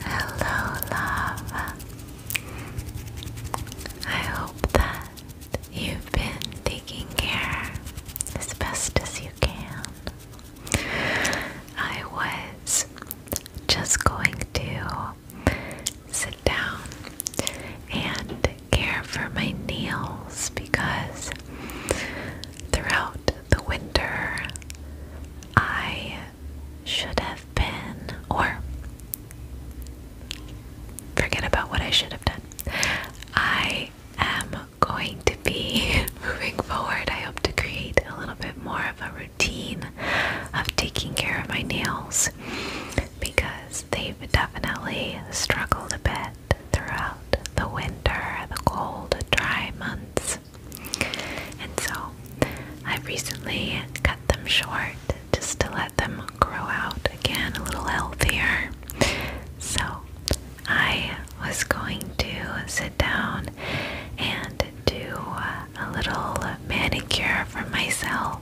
Hello, love. I hope that you've been taking care as best as you can. I was just going to sit down and care for my nails because throughout the winter, I should have been, or forget about what I should have done. I am going to be moving forward. I hope to create a little bit more of a routine of taking care of my nails because they've definitely struggled a bit throughout the winter, the cold, dry months. And so I recently cut them short just to let them grow out again a little healthier. So I was going to sit down and do a little manicure for myself.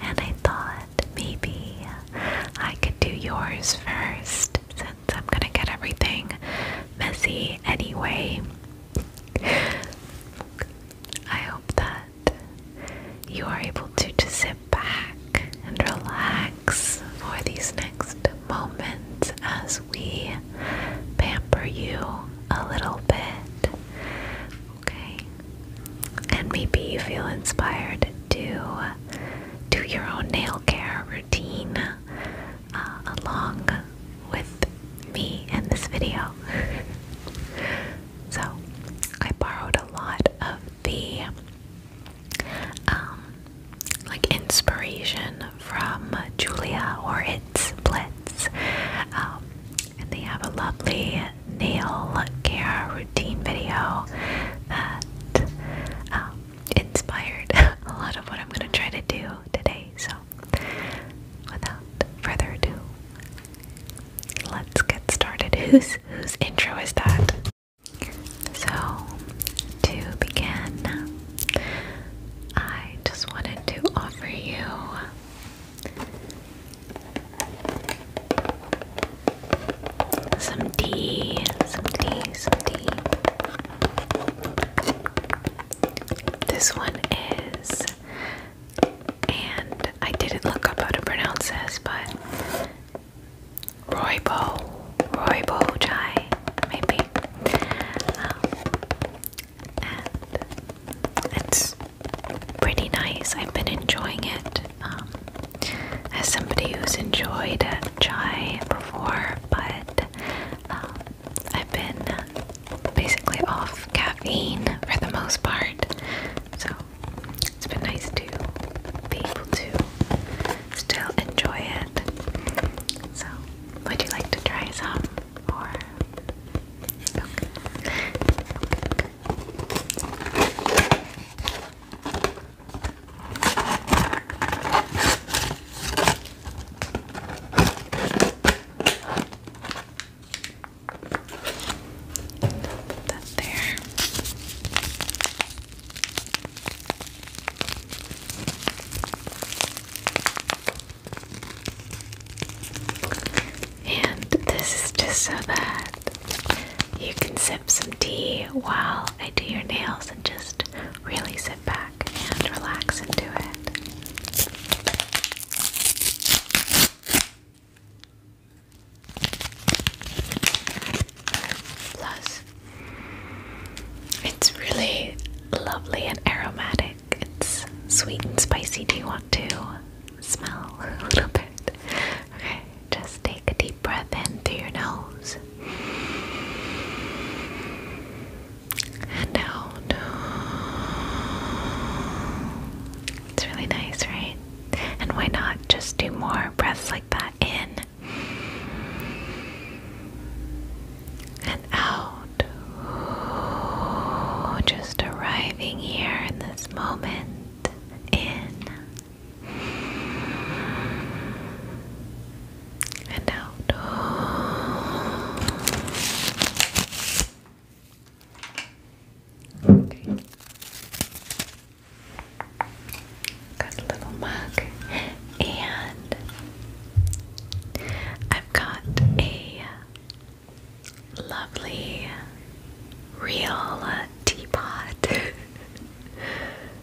And I thought maybe I could do yours first I'm gonna get everything messy anyway. I hope that you are able to just sit back and relax for these next moments as we pamper you a little bit. Okay? And maybe you feel inspired to do your own nail care routine uh, along with me in this video. so I borrowed a lot of the um, like inspiration from Julia or It's Blitz. Um, and they have a lovely nail care routine video that um, inspired a lot of what I'm going to try to do today. So, without further ado, let's get started. Whose, whose intro is that? So, to begin, I just wanted to offer you some tea, some tea, some tea. This one is, and I didn't look up how to pronounce this, but Roybo, Roybo chai, maybe. Um, and it's pretty nice. I've been enjoying it. Um, as somebody who's enjoyed chai but um, I've been basically off caffeine for the most part, so it's been nice to be able to still enjoy it. So, would you like to try some? Or Put that there. And this is just so bad. you can sip some tea while I do your nails and just really sit back and relax into it. Plus, it's really lovely and aromatic. It's sweet and spicy. Do you want to smell a little bit? Okay, just take a deep breath in through your nose and out. It's really nice, right? And why not just do more breaths like that in and out? Just arriving here in this moment. In and out. Got a little mug, and I've got a lovely real teapot.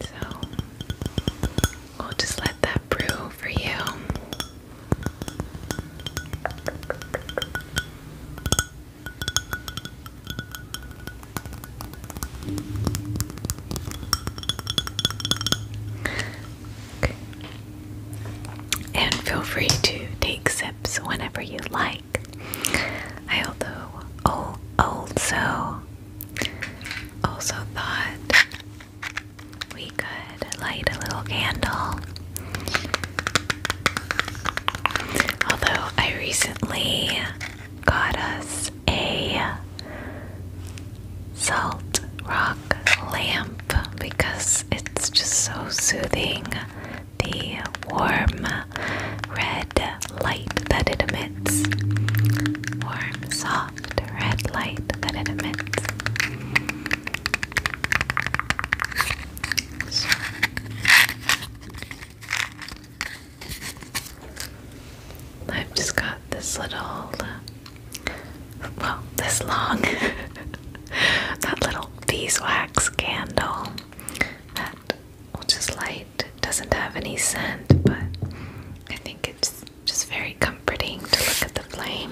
So we'll just let that brew for you. And feel free to take sips tips whenever you like. I also, also, also thought we could light a little candle. Although I recently got us a salt rock lamp because it's just so soothing the warm red light that it emits. Warm, soft red light that it emits. I've just got this little, well, this long that little beeswax candle that will just light. doesn't have any scent, but I think it's just very comforting to look at the flame.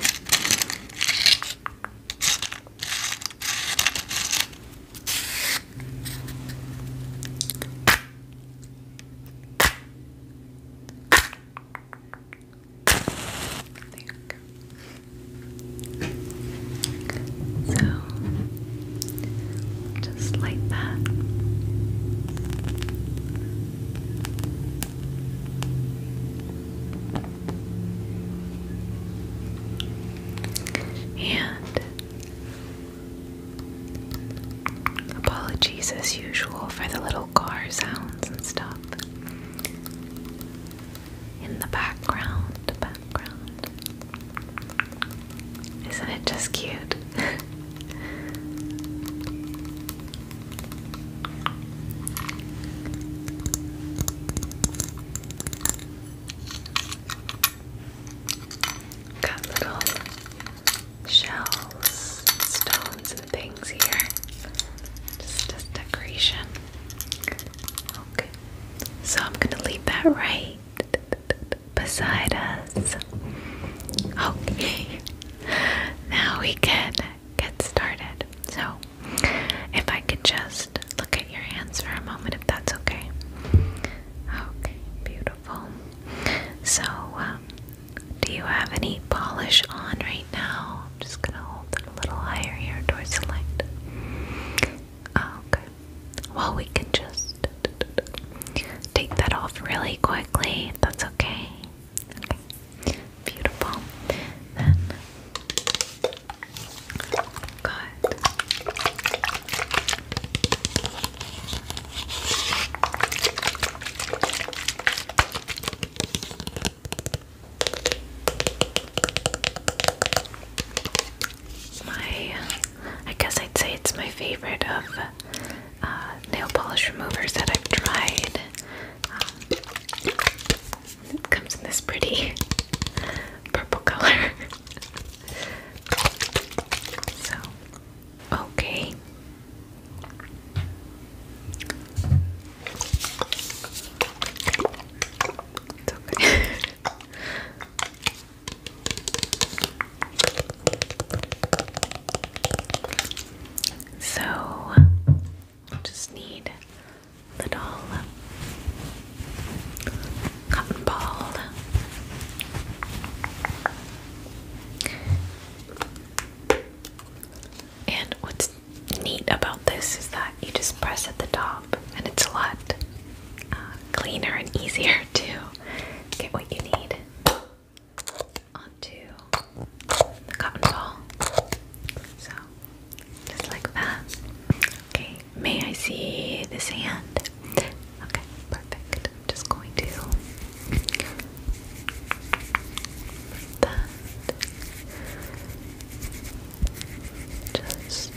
There so, just like that. And apologies as usual for the little car sounds and stuff in the background. Background. Isn't it just cute? Got little shells, stones, and things here. Just as decoration. Okay, so I'm gonna leave that right beside us. Okay, now we can get started. So, if I could just look at your hands for a moment, if that's okay. Okay, beautiful. So, um, do you have any polish on right now? I'm just gonna hold a little higher here towards the light. Oh, okay. Well, we can just take that off really quickly. that's okay. Okay. Beautiful. Good. My, I guess I'd say it's my favorite of uh, nail polish removers that I've tried. Um, it comes in this pretty purple color. so, okay. It's okay. so, i just need little cotton ball. And what's neat about this is that you just press at the top, and it's a lot uh, cleaner and easier to get what you need onto the cotton ball. So, just like that. Okay, may I see this hand? Okay, perfect. I'm just going to that. Just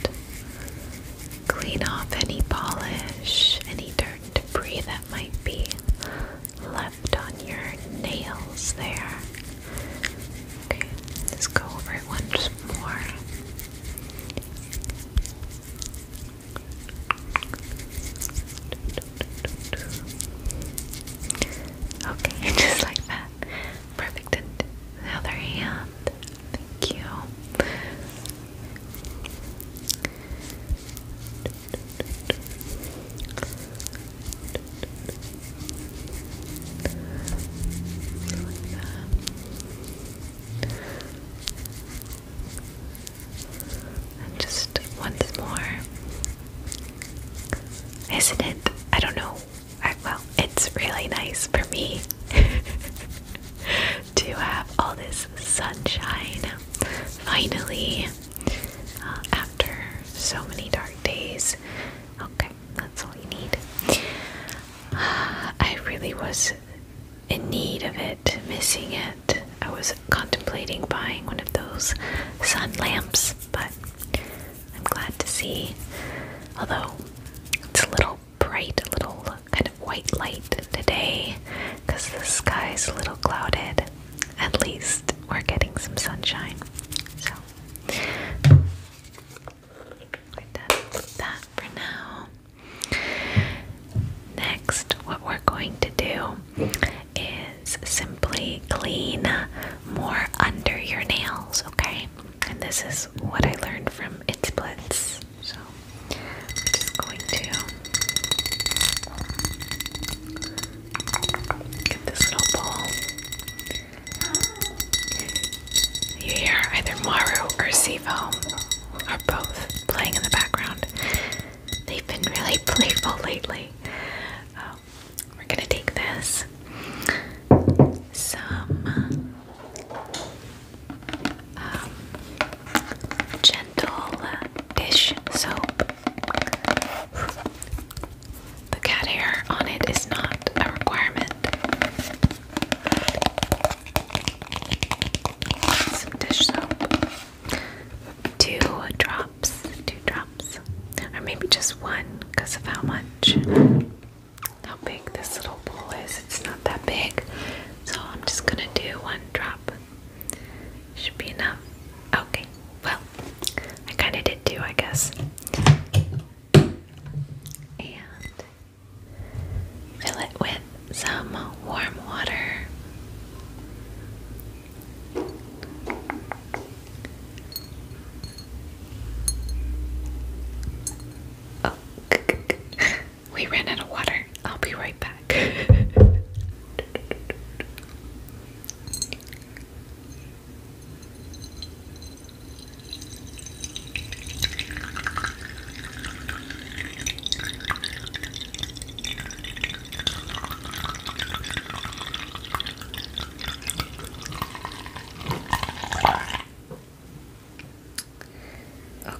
clean off any polish, any dirt debris that might be left on your nails there. Okay, let's go over it once more. Okay, just like that. Perfect. And the other hand. Thank you. just once more. Isn't it? I don't know well, it's really nice for me to have all this sunshine finally uh, after so many dark days. Okay, that's all you need. I really was in need of it, missing it. I was contemplating buying one of those sun lamps, but I'm glad to see. Although it's a little bright, little kind of white light today because the sky's a little clouded. At least we're getting some sunshine. So we that for now. Next, what we're going to do is simply clean more under your nails, okay? and this is what I learned from its blitz. So I'm just going to get this little ball. You hear either Maru or Sivo are both playing in the background. They've been really playful lately. Um, we're gonna take this some um, gentle dish soap. The cat hair on it is not a requirement. Some dish soap. Two drops, two drops, or maybe just one because of how much how big this little bowl is. It's not that big. So I'm just gonna do one drop. Should be enough. Okay, well, I kind of did too, I guess. And fill it with some warm water. Oh, we ran out of water. I'll be right back.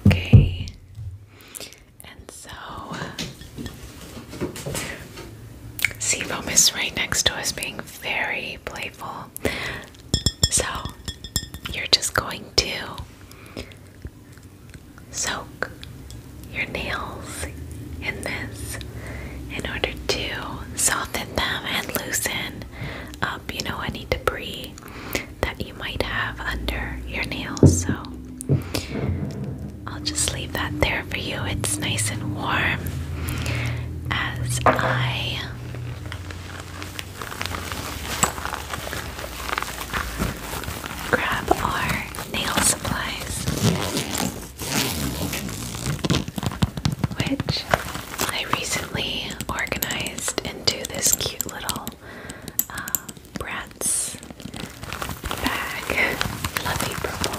Okay, and so Sebum is right next to us, being very playful. So you're just going to soak your nails in this in order to soften them and loosen up, you know, any debris that you might have under your nails. So I'll just leave that there for you. It's nice and warm as I grab our nail supplies which I recently organized into this cute little um, Bratz bag, fluffy purple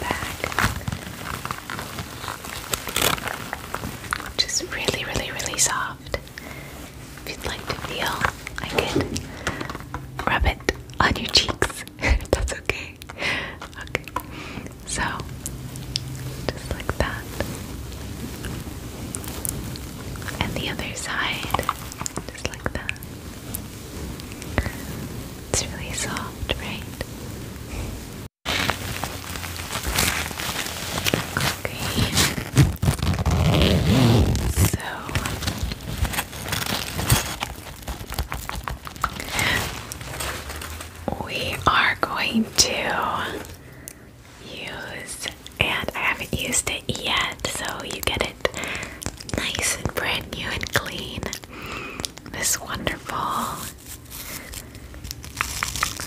bag, which really, really, really soft. If you'd like to feel, I could rub it on your cheeks. That's okay. Okay, so just like that. And the other side, just like that. It's really soft, right? Okay. So we are going to use, and I haven't used it yet, so you get it nice and brand new and clean. This wonderful,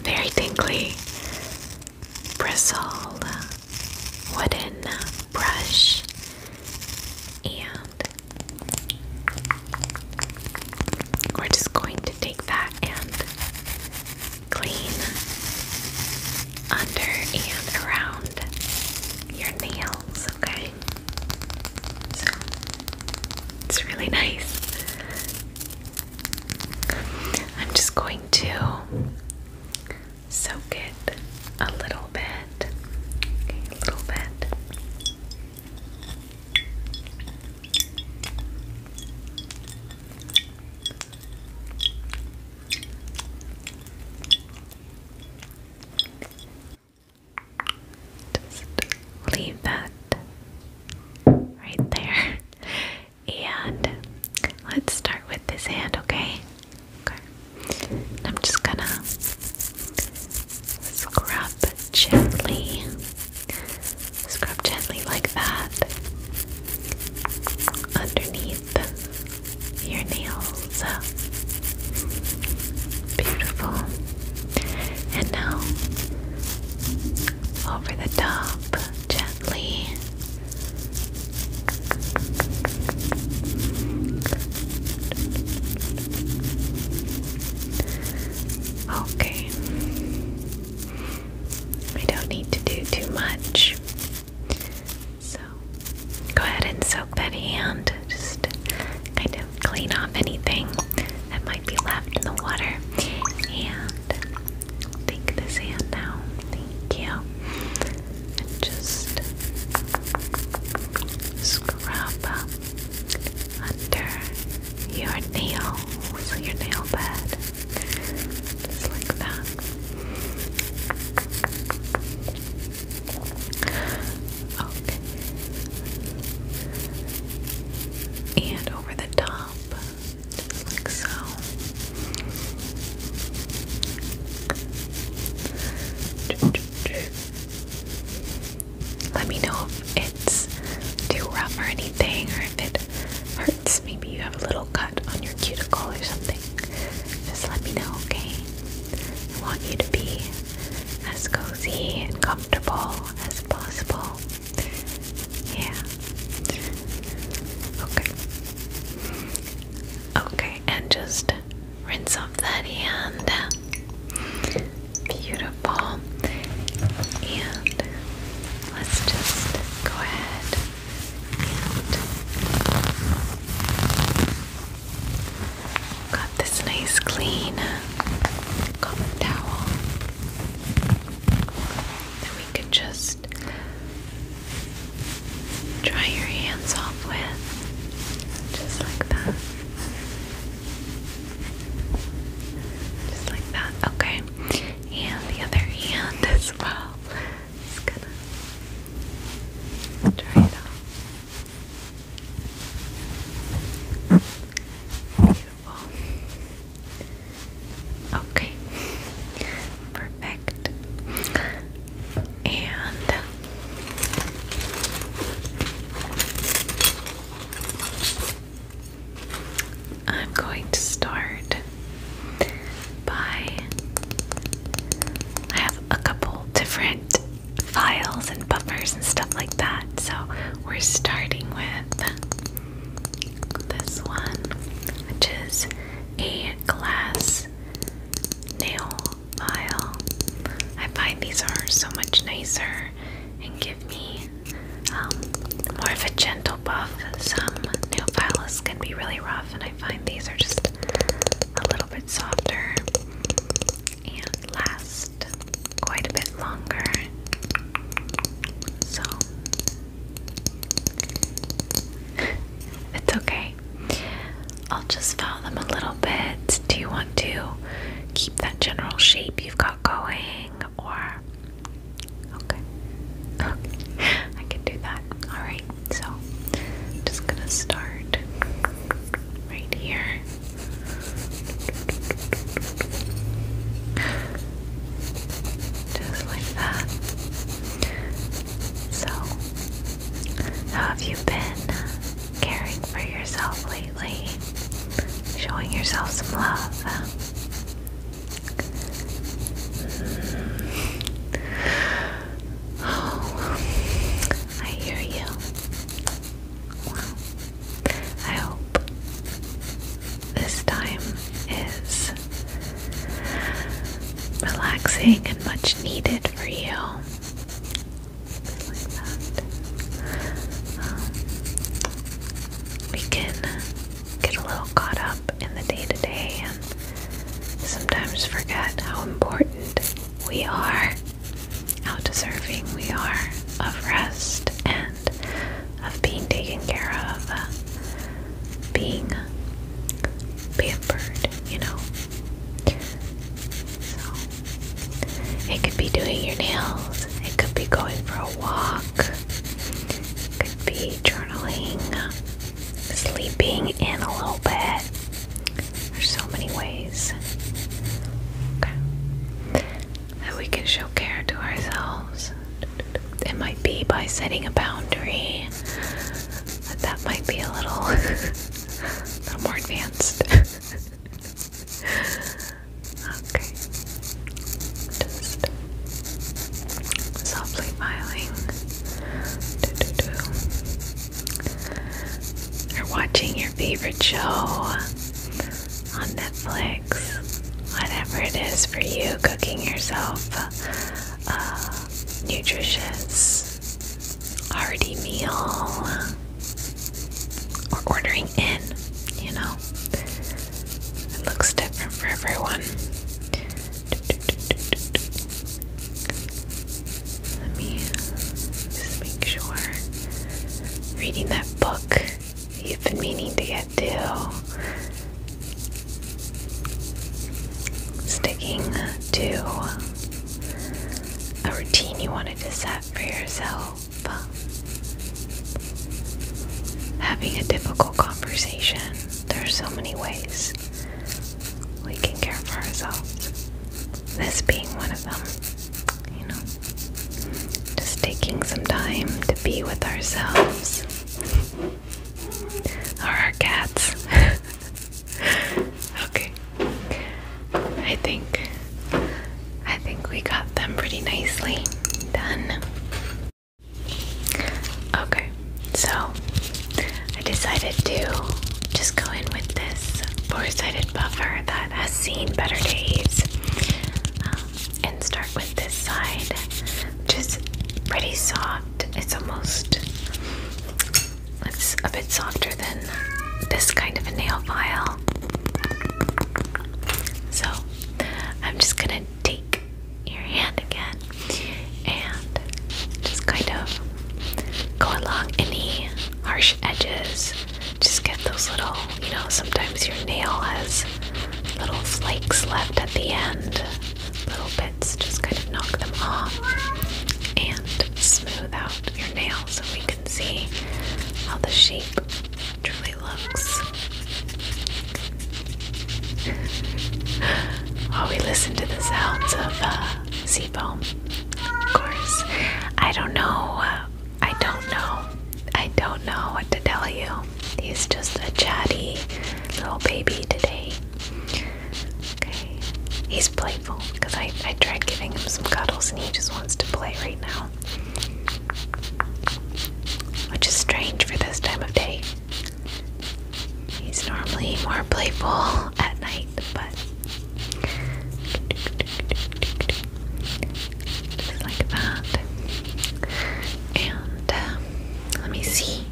very dinkly bristled wooden brush, and we're just going to take that and clean under and around your nails, okay? So it's really nice. I'm just going to soak it a little bit. a little bit leave that right there. And let's start with this hand, okay? Okay. I'm just gonna Scrub gently. Scrub gently like that underneath your nails. Beautiful. And now over the top gently. Okay. We don't need to do too much. So go ahead and soak that hand. Just kind of clean off anything that might be left in the water. And take this hand now. Thank you. And just scrub under your nails, your nail bed, just like that. Okay. And over the top, like so let me know if it's too rough or anything, or if it hurts. Maybe you have a little cut on your cuticle or something. Just let me know, okay? I want you to be as cozy and comfortable as possible. Yeah. Okay. Okay, and just rinse off that hand. Beautiful. And let's just go ahead and got this nice clean cotton towel that we could just dry your hands off with, just like that. Just like that. Okay. And the other hand as well. Just gonna try it out. Beautiful. Okay. Perfect. And I'm going to start by. I have a couple different files and buffers and stuff like that, so we're starting with this one, which is a glass nail file. I find these are so much nicer and give me um, more of a gentle buff. Some nail files can be really rough, and I find these are just a little bit softer and last quite a bit longer. So it's okay. I'll just file them a little do you want to keep that general shape you've got going? Or. Okay. I can do that. Alright, so just gonna start right here. Just like that. So, how have you been caring for yourself lately? showing yourself some love. I hear you. I hope this time is relaxing and much needed for you we can get a little caught up in the day to day and sometimes forget how important we are, how deserving we are of rest and of being taken care of, uh, being pampered, you know. It could be doing your nails, it could be going for a walk, it could be journaling, sleeping in a little bit. There's so many ways. That we can show care to ourselves. It might be by setting a boundary. That might be a little, a little more advanced. okay. Just softly filing. Or watching your favorite show on Netflix. Whatever it is for you, cooking yourself a uh, nutritious, hearty meal or ordering in, you know. It looks different for everyone. Let me just make sure. Reading that book you've been meaning to get to. Sticking to a routine you wanted to set for yourself help. Having a difficult conversation, there are so many ways we can care for ourselves. This being one of them, you know, just taking some time to be with ourselves or our cats. okay. I think I think we got them pretty nicely done. Okay, so I decided to just go in with this four-sided buffer that has seen better days um, and start with this side, which is pretty soft. It's almost it's a bit softer than this kind of a nail file. So I'm just gonna take your hand again and just kind of go along any harsh edges. Just get those little, you know, sometimes your nail has little flakes left at the end, little bits, just kind of knock them off and smooth out your nail so we can see how the shape truly looks. While we listen to the sounds of uh, sea foam, of course. I don't know. Uh, I don't know. I don't know what to tell you. He's just a chatty little baby today. Okay. He playful because I, I tried giving him some cuddles and he just wants to play right now. Which is strange for this time of day. He's normally more playful at night, but. like that. And um, let me see.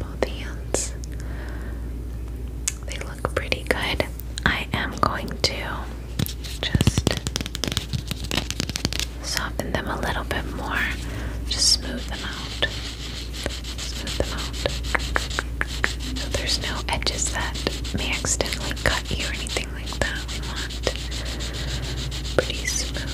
Both hands. They look pretty good. I am going to just soften them a little bit more, just smooth them out. Smooth them out. So there's no edges that may accidentally cut you or anything like that. We want pretty smooth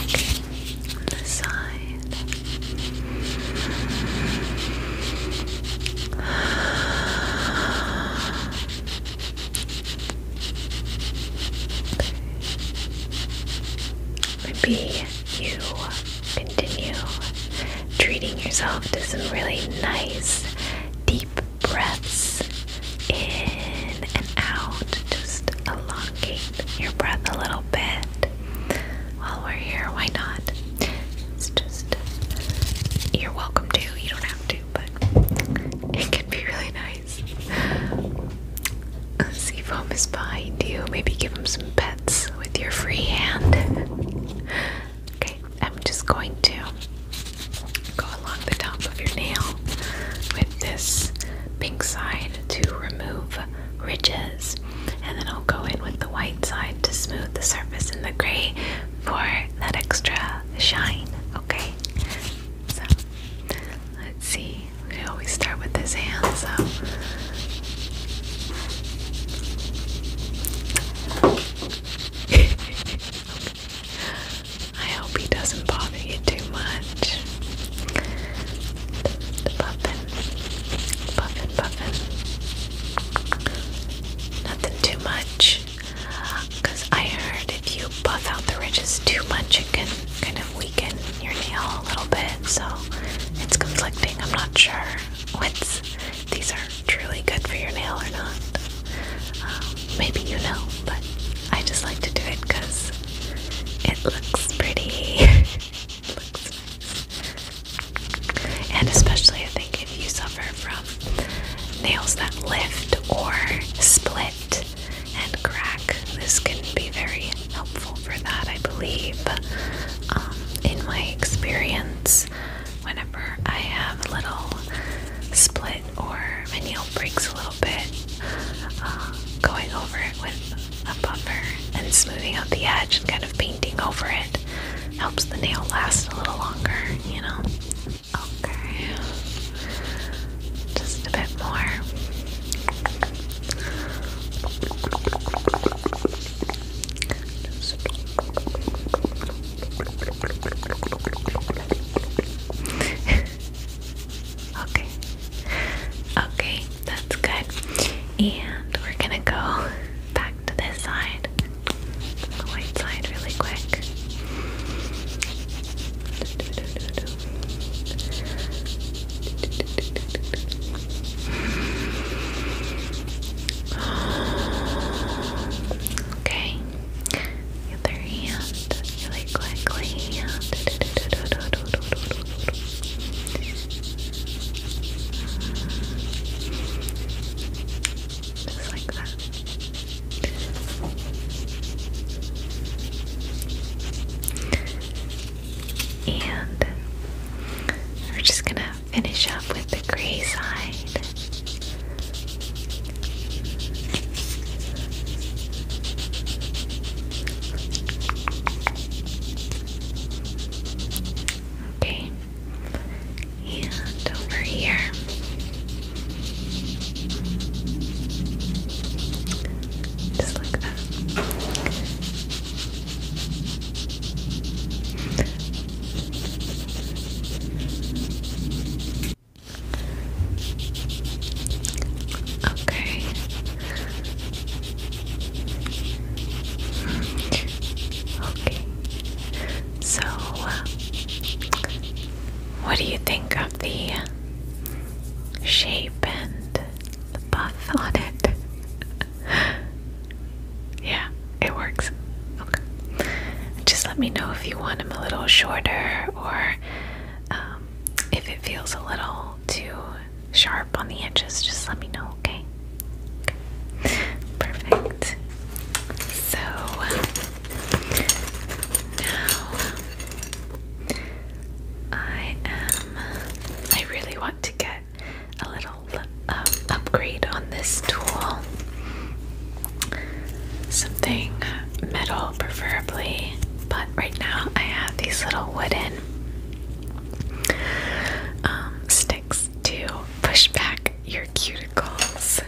Okay on the side. Maybe you continue treating yourself to some really nice deep breaths in and out. Just elongate your breath a little bit while we're here. Why not? It's just you're welcome to. You don't have to, but it can be really nice. Seafoam is behind you. Maybe give him some pets with your free hand. okay, I'm just going to go along the top of your nail with this pink side to remove ridges. And then I'll go in with the white side to smooth the surface in the gray for that extra shine. Okay? So, let's see. I always start with this hand, so. I hope he doesn't bother you too much. Puffin, puffin, puffin. Nothing too much. I heard if you buff out the ridges too much, it can kind of weaken your nail a little bit. So it's conflicting. I'm not sure what's these are truly good for your nail or not. Um, maybe you know, but I just like to do it because it looks pretty. And especially, I think if you suffer from nails that lift or split and crack, this can be very helpful for that, I believe. Um, in my experience, whenever I have little split or my nail breaks a little bit, um, going over it with a buffer and smoothing out the edge and kind of painting over it helps the nail last a little longer, you know? Okay. Just a bit more. Okay. Okay, that's good. And we're gonna go back to this side, the white side, really quick. Okay other hand really quickly. Just like that. And we're just gonna finish up with the gray side. Okay, and over here. Just like that. Okay. Okay. So, what do you think of the shape and the buff on it? yeah, it works. Okay. Just let me know if you want them a little shorter or um, if it feels a little too sharp on the edges, just let me know, okay? okay. Perfect. So now I am. I really want to get a little um, upgrade on this tool. Something metal preferably, but right now I have these little wooden um, sticks to push back your cuticles,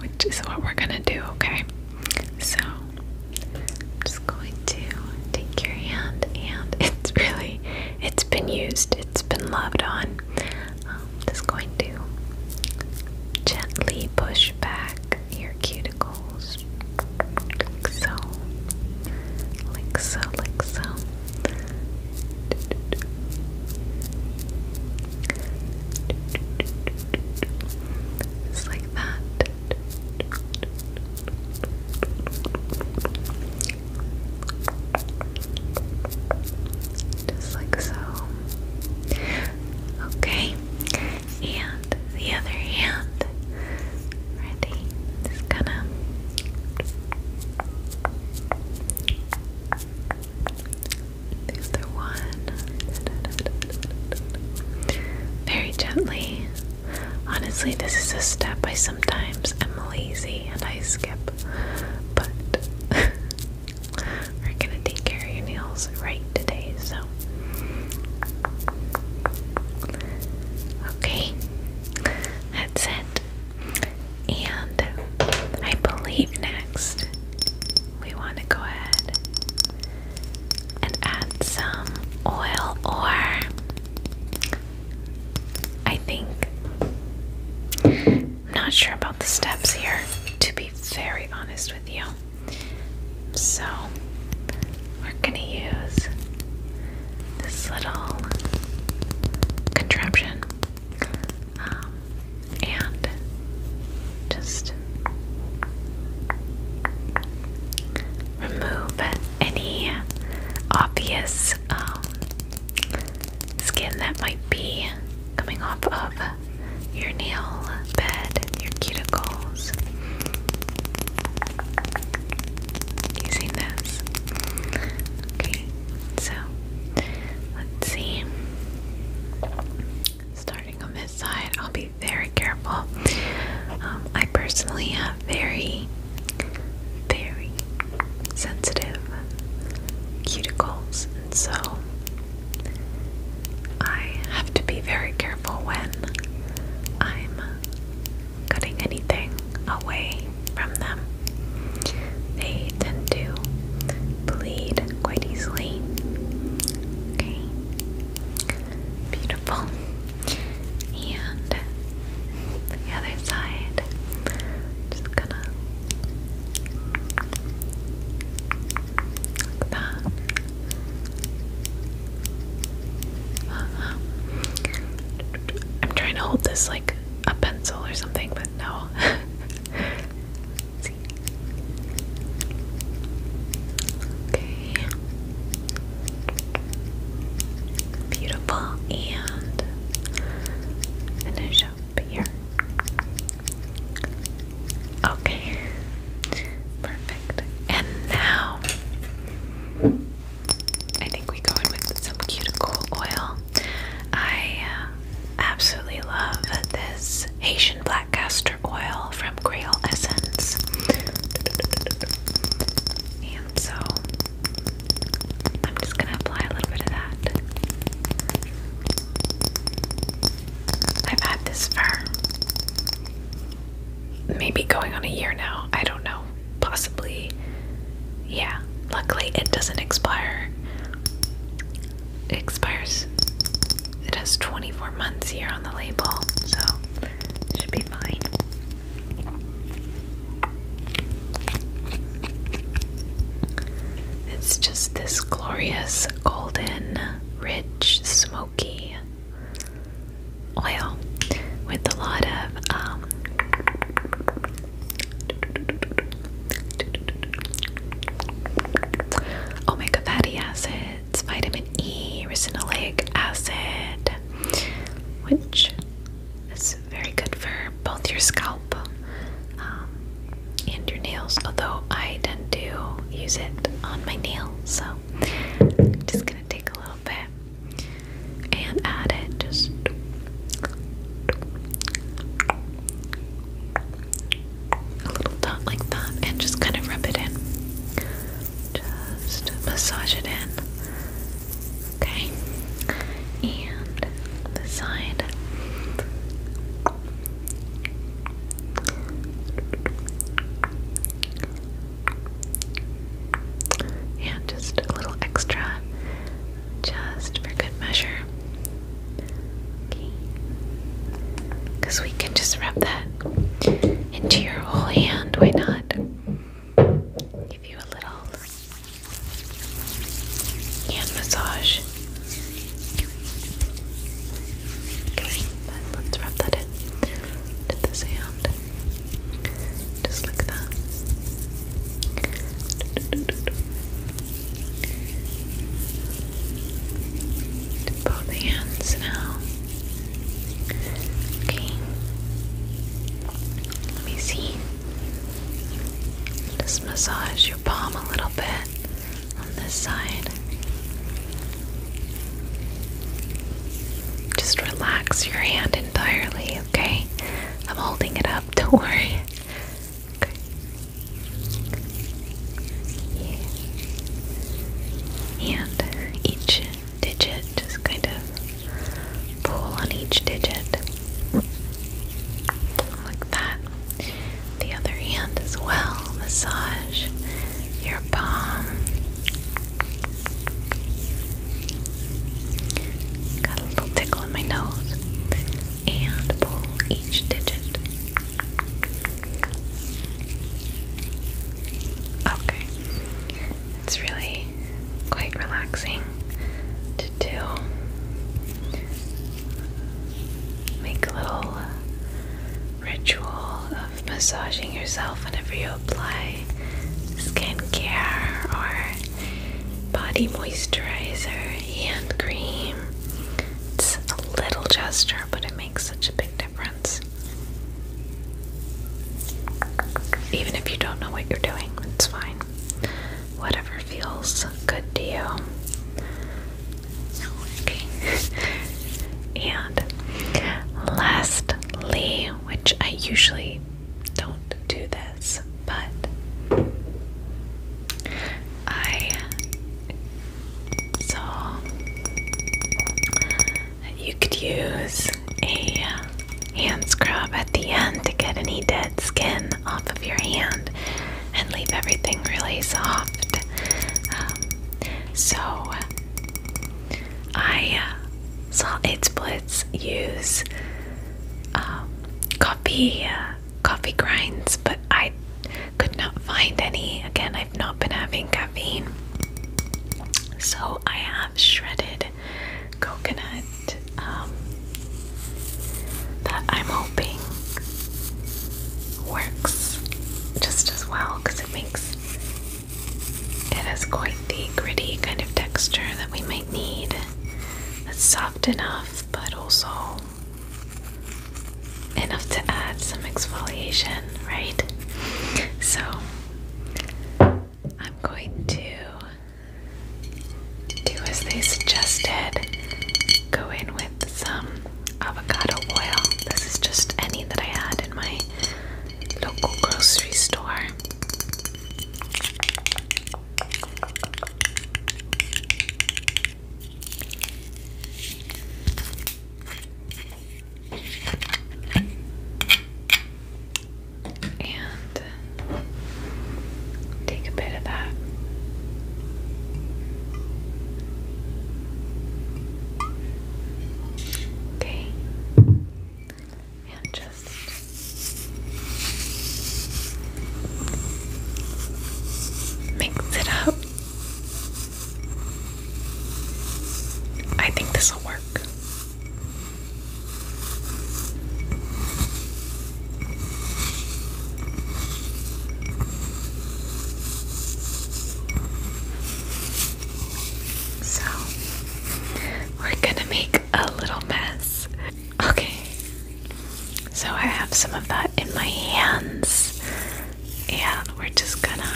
which is what we're gonna do, okay? So I'm just going to take your hand, and it's really, it's been used, it's been loved on. I'm um, just going to gently push back your cuticles. Like so. Like so, like so. Just like that. Just like so. Okay, and the other hand. Ready? Just gonna the other one. Very gently. Honestly, this is a step I sometimes am lazy and I skip, but are gonna take care of your nails right today, so okay, that's And I believe next we want to go ahead and add some oil, or I think I'm not sure about the steps here, to be very honest with you. So, we're gonna use this little contraption um, and just remove any obvious um, skin that might be coming off of your nail bed, your cuticles. Using this. Okay, so let's see. Starting on this side, I'll be very careful. Um, I personally have very, very sensitive cuticles, and so I have to be very careful when I'm cutting anything away from them. They tend to bleed quite easily. Okay. Beautiful. And the other side. Just gonna like that. I'm trying to hold this like a pencil or something, but no. Okay. Beautiful and finish up here. Okay. Perfect. And now I think we go in with some cuticle oil. I uh, absolutely love this Haitian black castor oil from Creole Essence. And so I'm just going to apply a little bit of that. I've had this for maybe going on a year now. I don't know. Possibly. Yeah. Luckily, it doesn't expire. It expires. It has 24 months here on the label, so it should be fine. It's just this glorious golden rich, smoky oil with a lot of um, omega fatty acids, vitamin E, ricinoleic acid, which is very good for both your scalp. Um, and your nails, although I tend to use it on my nails, so I'm just gonna take a little bit and add it just a little dot like that and just kind of rub it in. Just massage it in. Okay. And the side. Yeah, just a little extra, just for good measure. Okay. Because we can just wrap that into your whole hand, why not? Give you a little hand massage. Okay, let's wrap that in to the sand. Just like that. both hands now. Okay. Let me see. Just massage your palm a little bit on this side. Just relax your hand entirely, okay? I'm holding it up, don't worry. And each digit, just kind of pull on each digit. Like that the other hand as well. Massage your palm. Got a little tickle in my nose. And pull each digit. Okay. It's really quite relaxing to do. Make little ritual of massaging yourself whenever you apply skincare or body moisturizer, hand cream. It's a little gesture, but it makes such a big difference. Even if you don't know what you're doing, it's fine. Whatever feels good to you okay. and lastly, which I usually don't do this, but I saw that you could use a hand scrub at the end to get any dead skin off of your hand and leave everything really soft. Um, so I uh, saw its blitz use um, coffee uh, coffee grinds, but I could not find any. Again, I've not been having caffeine, so I have shredded coconut um, that I'm hoping works just as well because it makes it has quite the gritty kind of texture that we might need. It's soft enough, but also enough to add some exfoliation, right? So I'm going to do as they suggested go in with some avocado oil. This is just any that I had in my local grocery store. And take a bit of that Okay. And just mix it up. I think this will work. So, we're gonna make a little mess. Okay, so I have some of that in my hands, and we're just gonna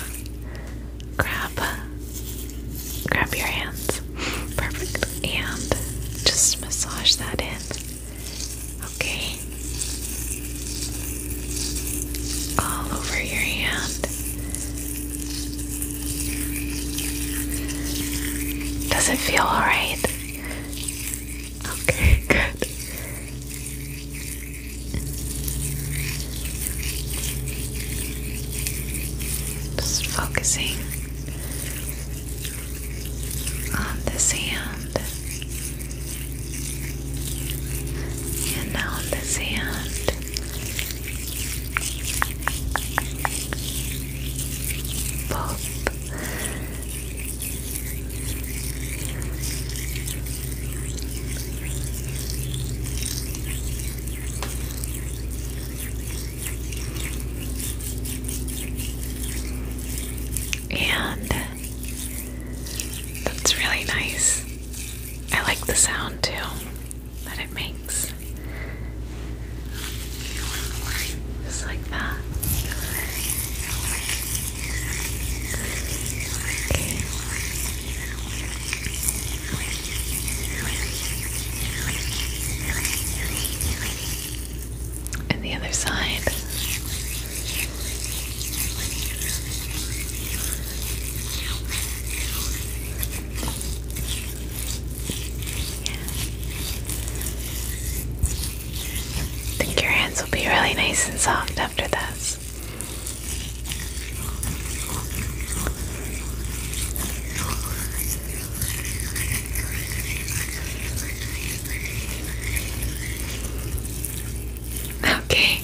grab, grab your hands, perfect, and just massage that in. Okay. All over your hand. Does it feel alright? Okay, good. Just focusing on this hand. And now on this hand. Both. And that's really nice. I like the sound too that it makes. Just like that. And the other side. I think your hands will be really nice and soft after this. Okay,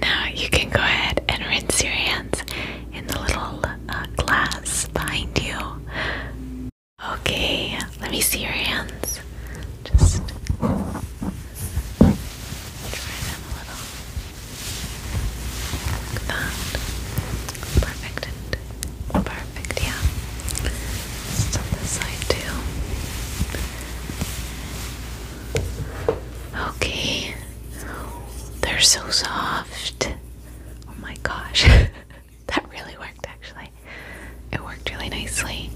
now you can go ahead and rinse your hands in the little uh, glass behind you. Okay, let me see your hands. Just dry them a little. Perfect. Perfect, yeah. Just on side too. Okay. They're so soft. Oh my gosh. that really worked actually. It worked really nicely.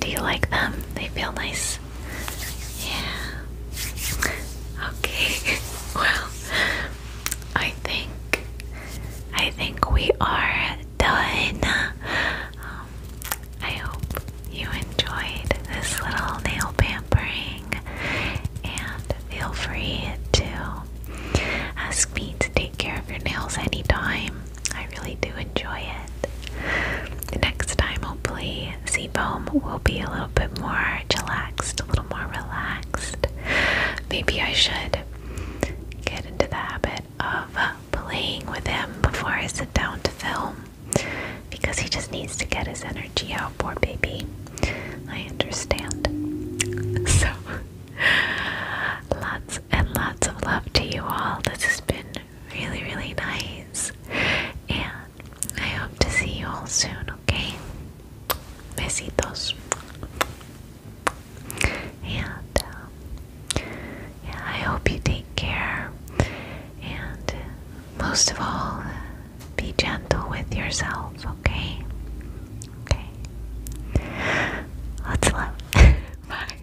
Do you like them? They feel nice. Yeah. Okay. well, I think I think we are done. I hope you enjoyed this little nail pampering and feel free to ask me to take care of your nails anytime. I really do enjoy it. Next time, hopefully, Seaboom will be a little bit more chillaxed, a little more relaxed. Maybe I should get into the habit of uh, playing with him before I sit down to film because he just needs to get his energy out, poor baby. I understand. So, lots and lots of love to you all. This has been really, really nice. And I hope to see you all soon, okay? Besitos. And um, I hope you take care. And most of all, be gentle with yourself, okay? Okay. Lots of love. Bye.